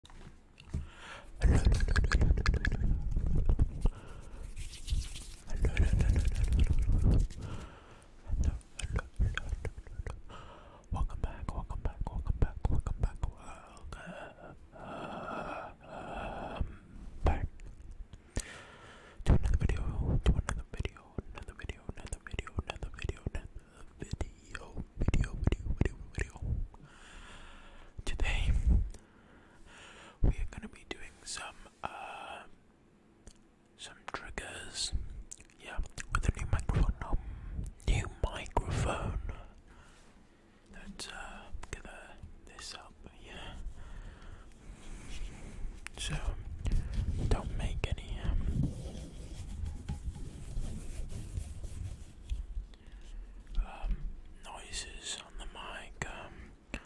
Welcome back, welcome back, welcome back, welcome back, welcome back to another video, to another video, another video, another video, another video, video, video, video, video, video. Today, we are going to be doing some, uh, some triggers. Yeah, with a new microphone. Um, new microphone. Let's uh, get uh, this up. Yeah. So, don't make any. Um, um, noises on the mic. Um,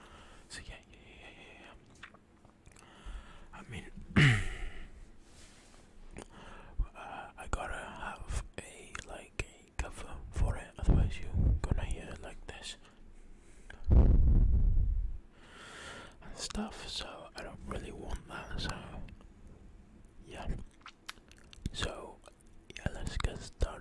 so yeah, yeah, yeah, I mean, uh, I gotta have a like a cover for it, otherwise you're gonna hear like this and stuff. So I don't really want that. So yeah. So, yeah, let's get started.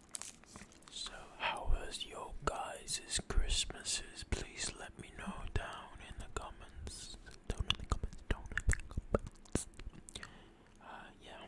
So, how was your guys' Christmases? Please let me know down in the comments. Down in the comments, down in the comments. Uh, yeah.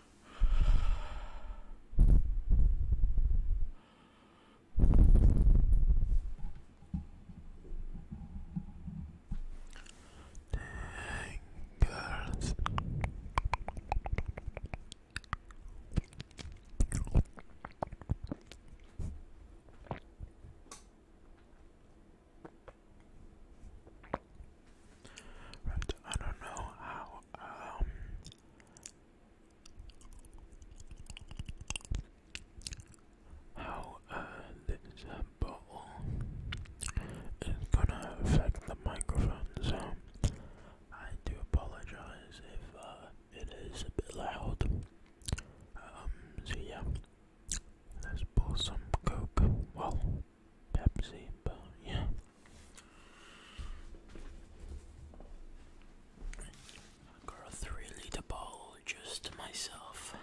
Tingles. Right, I don't know how um, how uh, this bottle is gonna affect the microphone. So I do apologize if uh, it is a bit loud. Um, yeah, let's pour some Coke. Well, Pepsi, but yeah. Got a three litre bowl just myself.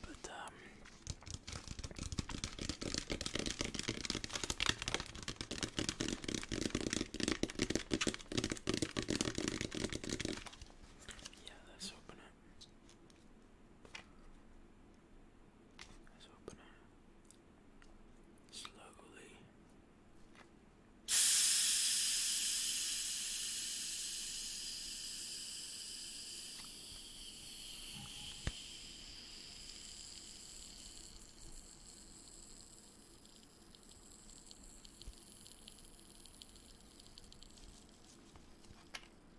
But, um, yeah, let's open it. Let's open it slowly.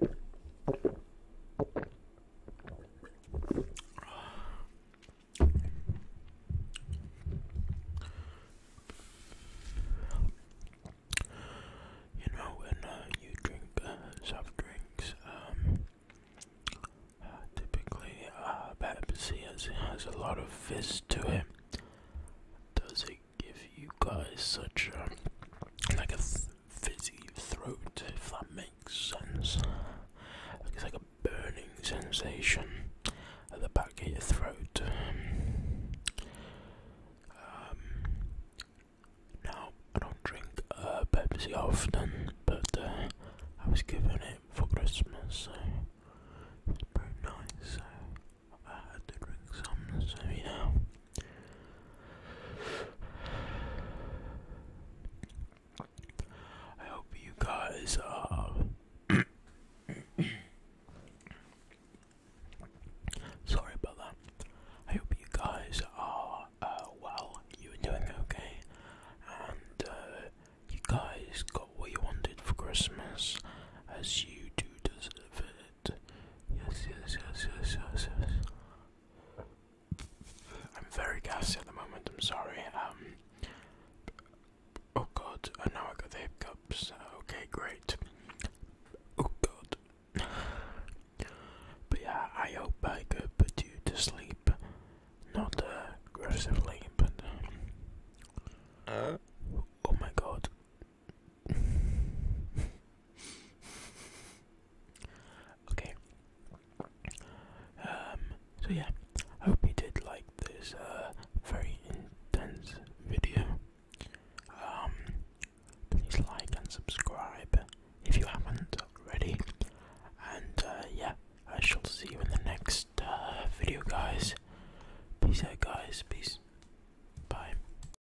You know, when uh, you drink uh, soft drinks, um, uh, typically uh, Pepsi has, a lot of fizz to it. Does it give you guys such a, um, like a, fizzy throat, if that makes sense. It's like a burning sensation at the back of your throat. Um, now, I don't drink uh, Pepsi often, but uh, I was given it for Christmas, so it's pretty nice. So I had to drink some, so you know. I hope you guys uh, sorry about that. I hope you guys are uh, well, you're doing okay, and uh, you guys got what you wanted for Christmas as you do deserve it. Yes, yes, yes, yes, yes, yes. I'm very gassy at the moment, I'm sorry. Um, oh god, and now I got the hiccups. Okay, great. Oh god. But yeah, I hope I could put you to sleep. Not uh, aggressively, but. Uh? Oh my god. okay. Um, so yeah, I hope you did like this uh, very intense video. Um, please like and subscribe if you haven't already. And uh, yeah, I shall see you in the next uh, video, guys. Peace out, guys. Peace. Bye.